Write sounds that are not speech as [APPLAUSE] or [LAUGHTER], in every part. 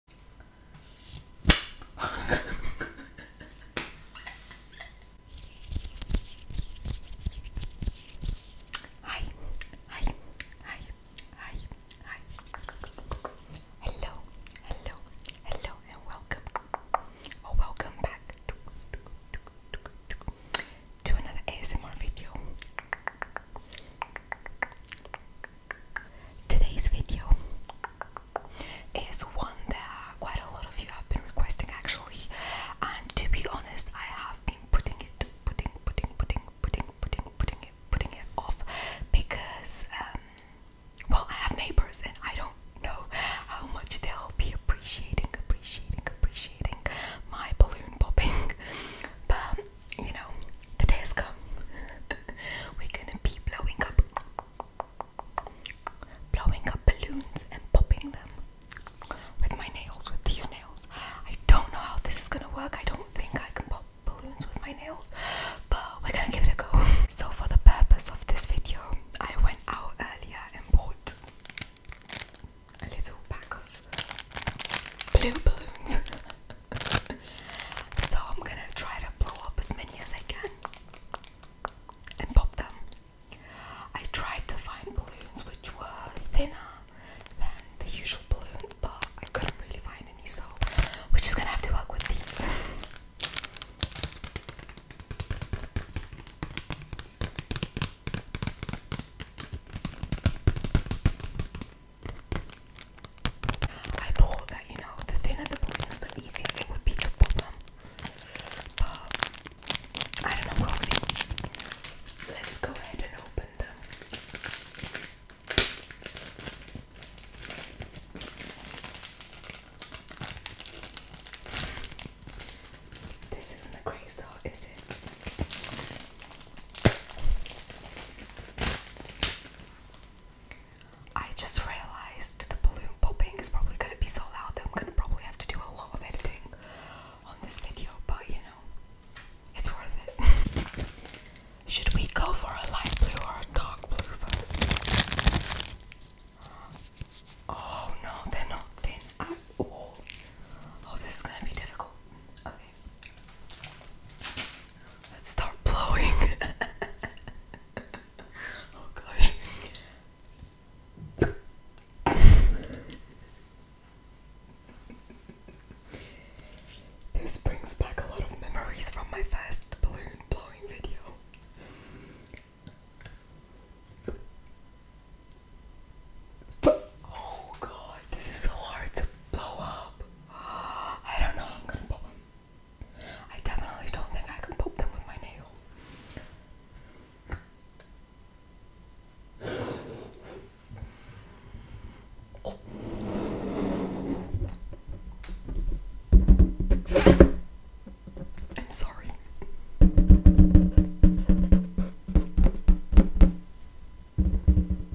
Hi, hi, hi, hi, hi. Hello, hello, hello, and welcome. Or welcome back to another ASMR video. Today's video is one that quite a lot of you have been requesting actually and to be honest I have been putting it putting putting putting putting putting putting it putting it off because um, well I have neighbors and I don't know how much they'll be appreciating appreciating appreciating my balloon popping [LAUGHS] but [LAUGHS] you know, the day has come. [LAUGHS] We're gonna be blowing up, blowing up balloons and popping them with my nails, with these nails. I don't know how this is gonna work. I don't think I can pop balloons with my nails, but we're gonna give it a go. [LAUGHS] So for the purpose of this video, I went out earlier and bought a little pack of blue balloons. [LAUGHS] so I'm gonna try to blow up as many as I can and pop them. I tried to find balloons which were thinner than the usual balloons, but I couldn't really find any, so we're just gonna have to work with these. I thought that you know the thinner the balloons, the easier it would be to pop them. But I don't know, we'll see. Let's go ahead and open them. This isn't a great start, is it? I just realized the balloon popping is probably going to be so loud that I'm going to probably have to do a lot of editing on this video, but you know, it's worth it. [LAUGHS] Should we go for a light blue or a dark blue first? Oh no, they're not thin at all. Oh, this is going to be difficult. Okay. Let's start blowing. [LAUGHS] oh gosh. this brings back a lot of memories from my fast balloon blowing video. Oh god, this is so hard to blow up. [GASPS] I don't know, I definitely don't think I can poke them with my nails. I'm sorry.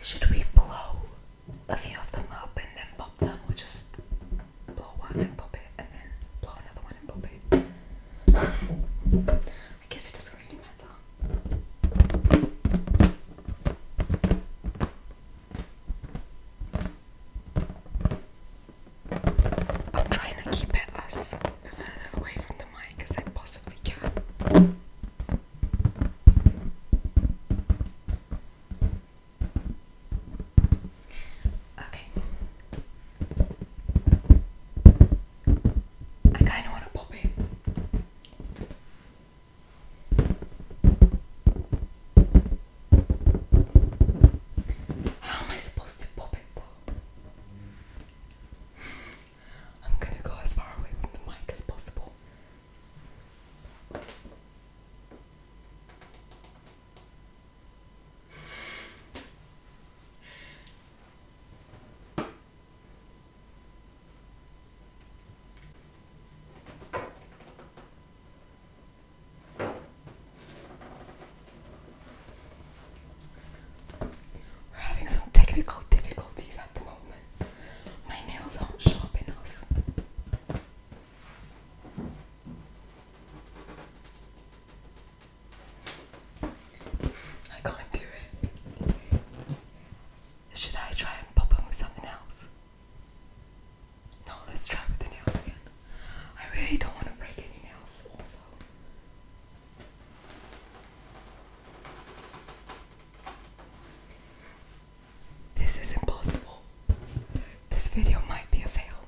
Should we blow a few of them up and then pop them or just blow one and pop it, and then blow another one and pop it. I guess it doesn't really matter. I'm trying to keep it as further away from the mic as I possibly can. Okay. I kind of want to pop it. How am I supposed to pop it I'm gonna go as far away from the mic as possible. We're having some technical difficulties at the moment. My nails aren't sharp enough. I can't do it. Should I try and pop them with something else? No, let's try with the nails again. I really don't want to break any nails, also. This is impossible. This video might be a fail.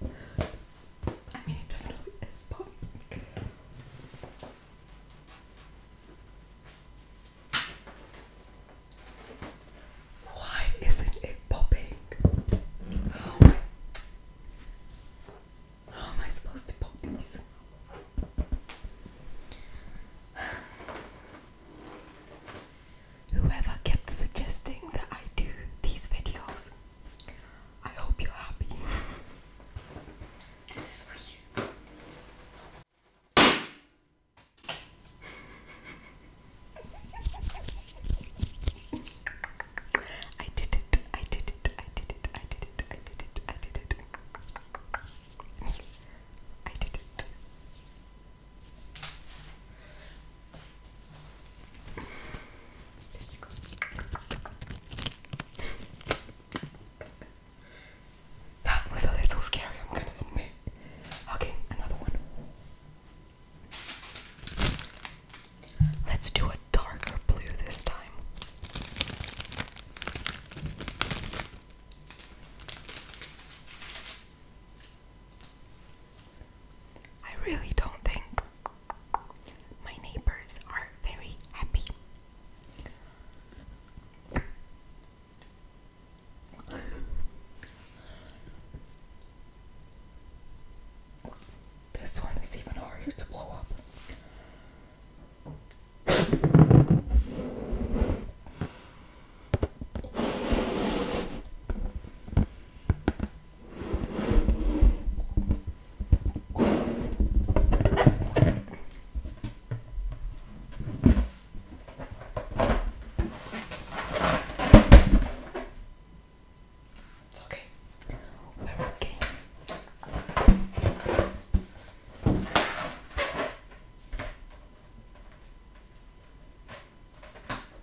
I mean, it definitely is punk. Why isn't it popping? how am I supposed to pop these? [SIGHS] Whoever kept suggesting that I do these videos, I hope you're happy. this is for you. I did it. I did it. I did it. I did it. I did it. I did it. I did it. That was a little scary, I'm gonna admit. Okay, another one. Let's do a darker blue this time. I really don't think my neighbors are very happy. This one is even harder to blow up. It's okay. We're working.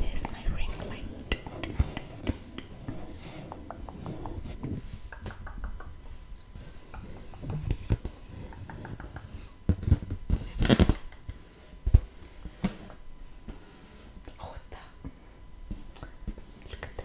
Here's my ring light. Oh, what's that? Look at that.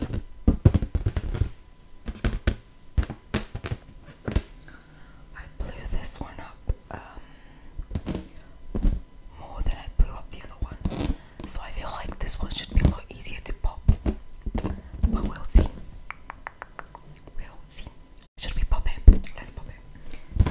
I blew this one up um, more than I blew up the other one, so I feel like this one should be a lot easier to pop. But we'll see. We'll see. Should we pop it? Let's pop it.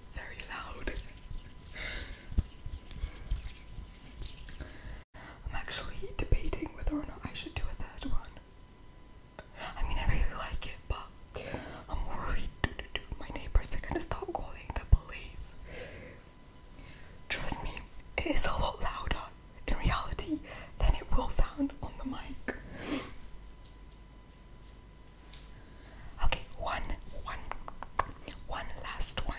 very, loud. I'm actually debating whether or not I should do a third one. I mean, I really like it, but I'm worried. My neighbors are gonna stop calling the police. Trust me, it is a lot louder in reality than it will sound on the mic. Okay, one, one, one last one.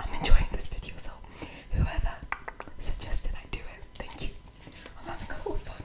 I'm enjoying this video, so whoever suggested I do it, thank you. I'm having a lot of fun.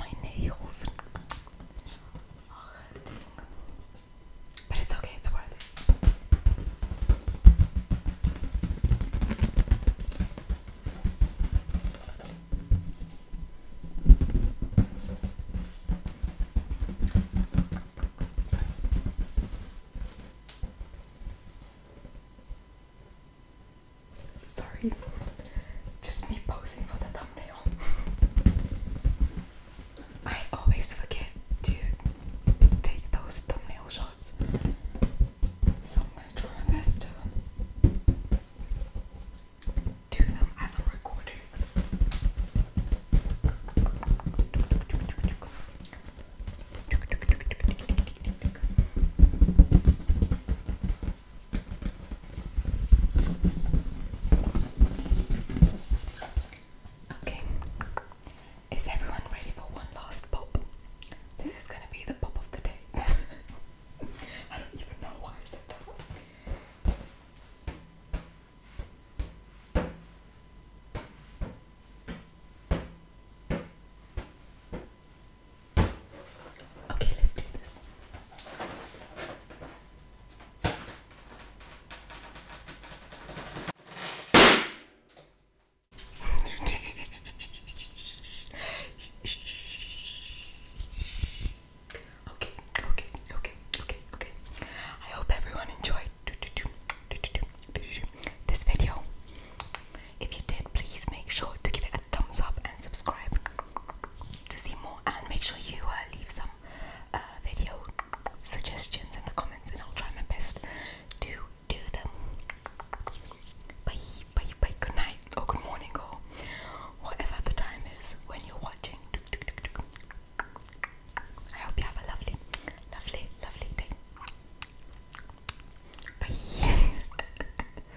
My nails But it's okay, it's worth it. Sorry, just me posing for the thumbnail. I always forget to take those thumbnail shots, so I'm gonna try my best to do them as i recording. Okay, is everyone ready for one last pop? This is gonna be the pop of the day. [LAUGHS] I don't even know why I said that. Okay, let's do this. okay, okay, okay, okay, okay. I hope everyone enjoyed this video. If you did, please make sure to give it a thumbs up and subscribe to see more and make sure you uh, leave some uh, video suggestions in the comments and I'll try my best to do them. Bye, bye, bye, good night or good morning or whatever the time is when you're watching. I hope you have a lovely, lovely, lovely day. Bye. [LAUGHS]